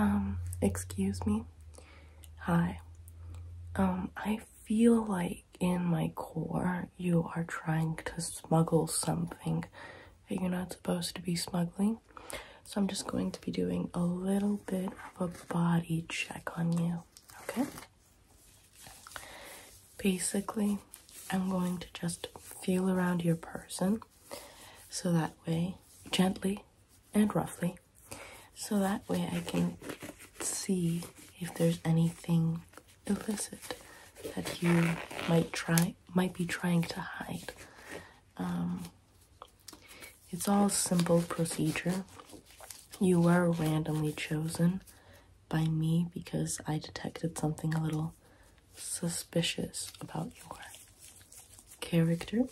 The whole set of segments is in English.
Um, excuse me. Hi. Um, I feel like in my core you are trying to smuggle something that you're not supposed to be smuggling. So I'm just going to be doing a little bit of a body check on you, okay? Basically, I'm going to just feel around your person so that way, gently and roughly, so that way I can see if there's anything illicit that you might try might be trying to hide. Um, it's all simple procedure. You are randomly chosen by me because I detected something a little suspicious about your character.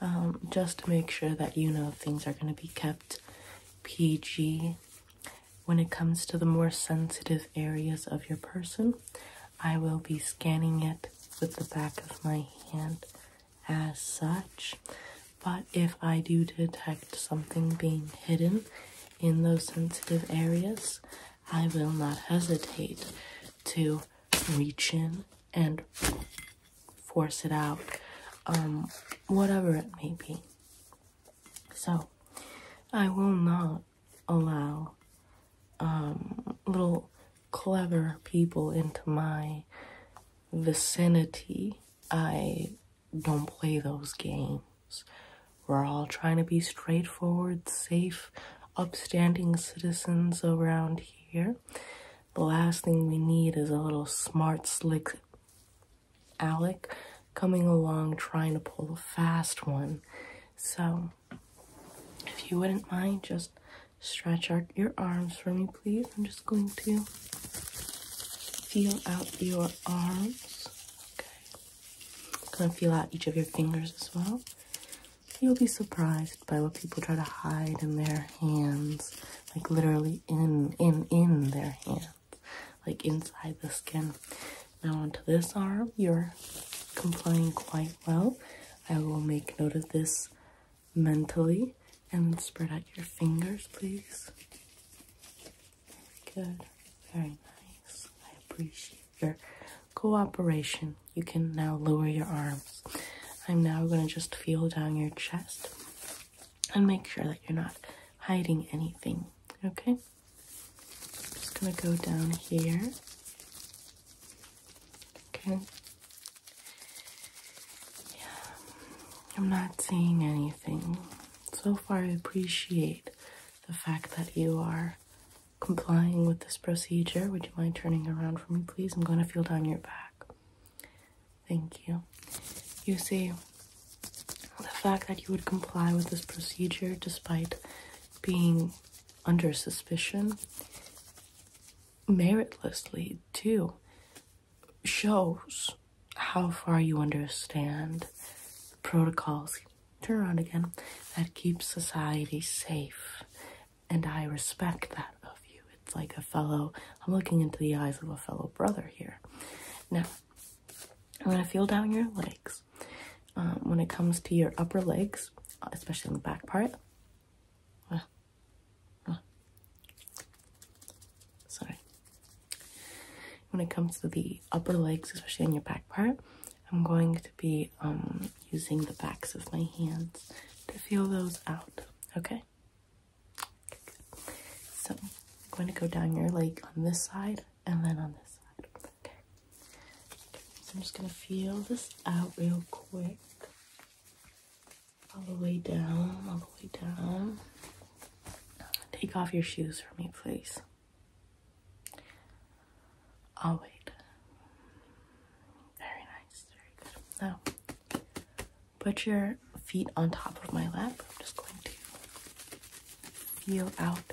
Um, just to make sure that you know things are going to be kept PG. When it comes to the more sensitive areas of your person, I will be scanning it with the back of my hand as such, but if I do detect something being hidden in those sensitive areas, I will not hesitate to reach in and force it out, um, whatever it may be. So, I will not allow um, little clever people into my vicinity, I don't play those games. We're all trying to be straightforward, safe, upstanding citizens around here. The last thing we need is a little smart, slick Alec coming along trying to pull a fast one. So, if you wouldn't mind just Stretch out your arms for me, please. I'm just going to feel out your arms. Okay. I'm gonna feel out each of your fingers as well. You'll be surprised by what people try to hide in their hands, like literally in, in, in their hands, like inside the skin. Now onto this arm, you're complying quite well. I will make note of this mentally and spread out your fingers, please. Very good. Very nice. I appreciate your cooperation. You can now lower your arms. I'm now going to just feel down your chest and make sure that you're not hiding anything, okay? just going to go down here Okay. Yeah, I'm not seeing anything. So far, I appreciate the fact that you are complying with this procedure. Would you mind turning around for me, please? I'm going to feel down your back. Thank you. You see, the fact that you would comply with this procedure despite being under suspicion meritlessly too shows how far you understand protocols turn around again that keeps society safe and i respect that of you it's like a fellow i'm looking into the eyes of a fellow brother here now i'm going to feel down your legs um, when it comes to your upper legs, uh, especially on the back part. Uh, uh. sorry. When it comes to the upper legs, especially on your back part, I'm going to be um, using the backs of my hands to feel those out, okay so I'm going to go down your leg on this side and then on this side. Okay. I'm just going to feel this out real quick. All the way down, all the way down. Take off your shoes for me, please. I'll wait. Very nice, very good. Now, put your feet on top of my lap. I'm just going to feel out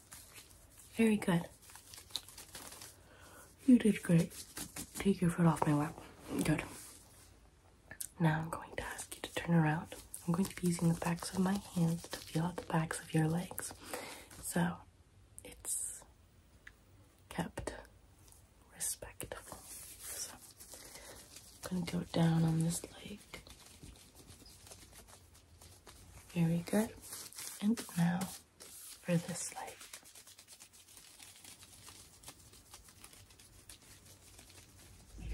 Very good. You did great. Take your foot off my lap. Good. Now I'm going to ask you to turn around. I'm going to be using the backs of my hands to feel out the backs of your legs. So it's kept respectful. So I'm going to go down on this leg. Very good. And now for this leg.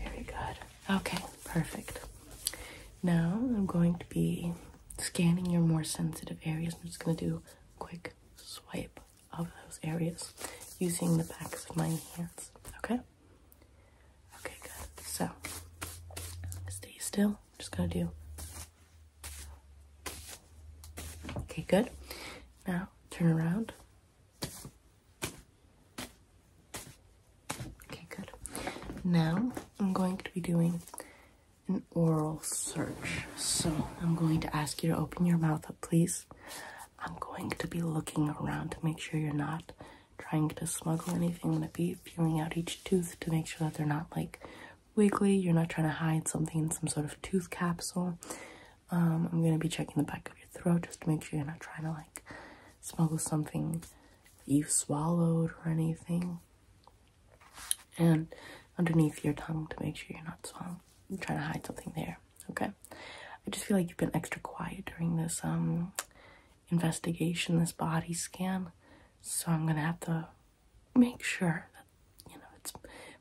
Very good. Okay, perfect. Now I'm going to be scanning your more sensitive areas. I'm just going to do a quick swipe of those areas using the backs of my hands. Okay? Okay, good. So, stay still. just gonna do. Okay, good. Now, turn around. Okay, good. Now, I'm going to be doing an oral search. So, I'm going to ask you to open your mouth up, please. I'm going to be looking around to make sure you're not trying to smuggle anything. I'm gonna be feeling out each tooth to make sure that they're not like wiggly. You're not trying to hide something in some sort of tooth capsule. Um, I'm gonna be checking the back of your throat just to make sure you're not trying to like smuggle something you swallowed or anything. And underneath your tongue to make sure you're not trying to hide something there. Okay. I just feel like you've been extra quiet during this um investigation, this body scan. So I'm gonna have to make sure that you know it's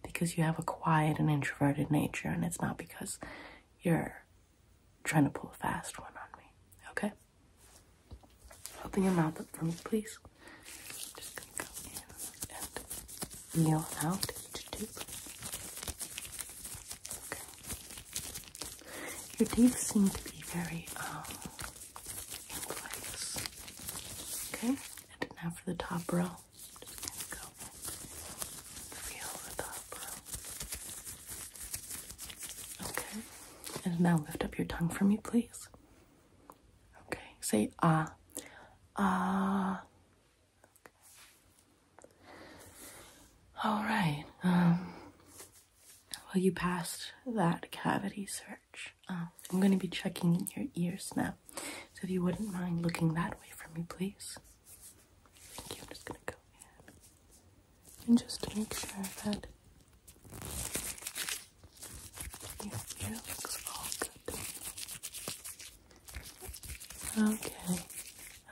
because you have a quiet and introverted nature and it's not because you're trying to pull a fast one on me. Okay? Open your mouth up for me, please. Just gonna go in and kneel out. Your teeth seem to be very um in Okay. And now for the top row. Okay. And now lift up your tongue for me, please. Okay. Say ah. Ah. All right. Um, well, you passed that cavity search. Um, I'm going to be checking your ears now. So if you wouldn't mind looking that way for me, please. Thank you. I'm just going to go in and just make sure that your ear looks all good. Okay.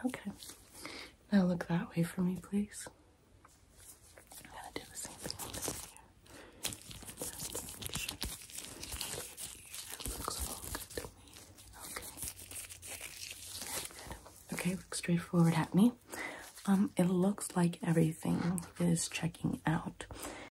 Okay. Now look that way for me, please. Okay. Okay, look straight forward at me. Um, it looks like everything is checking out.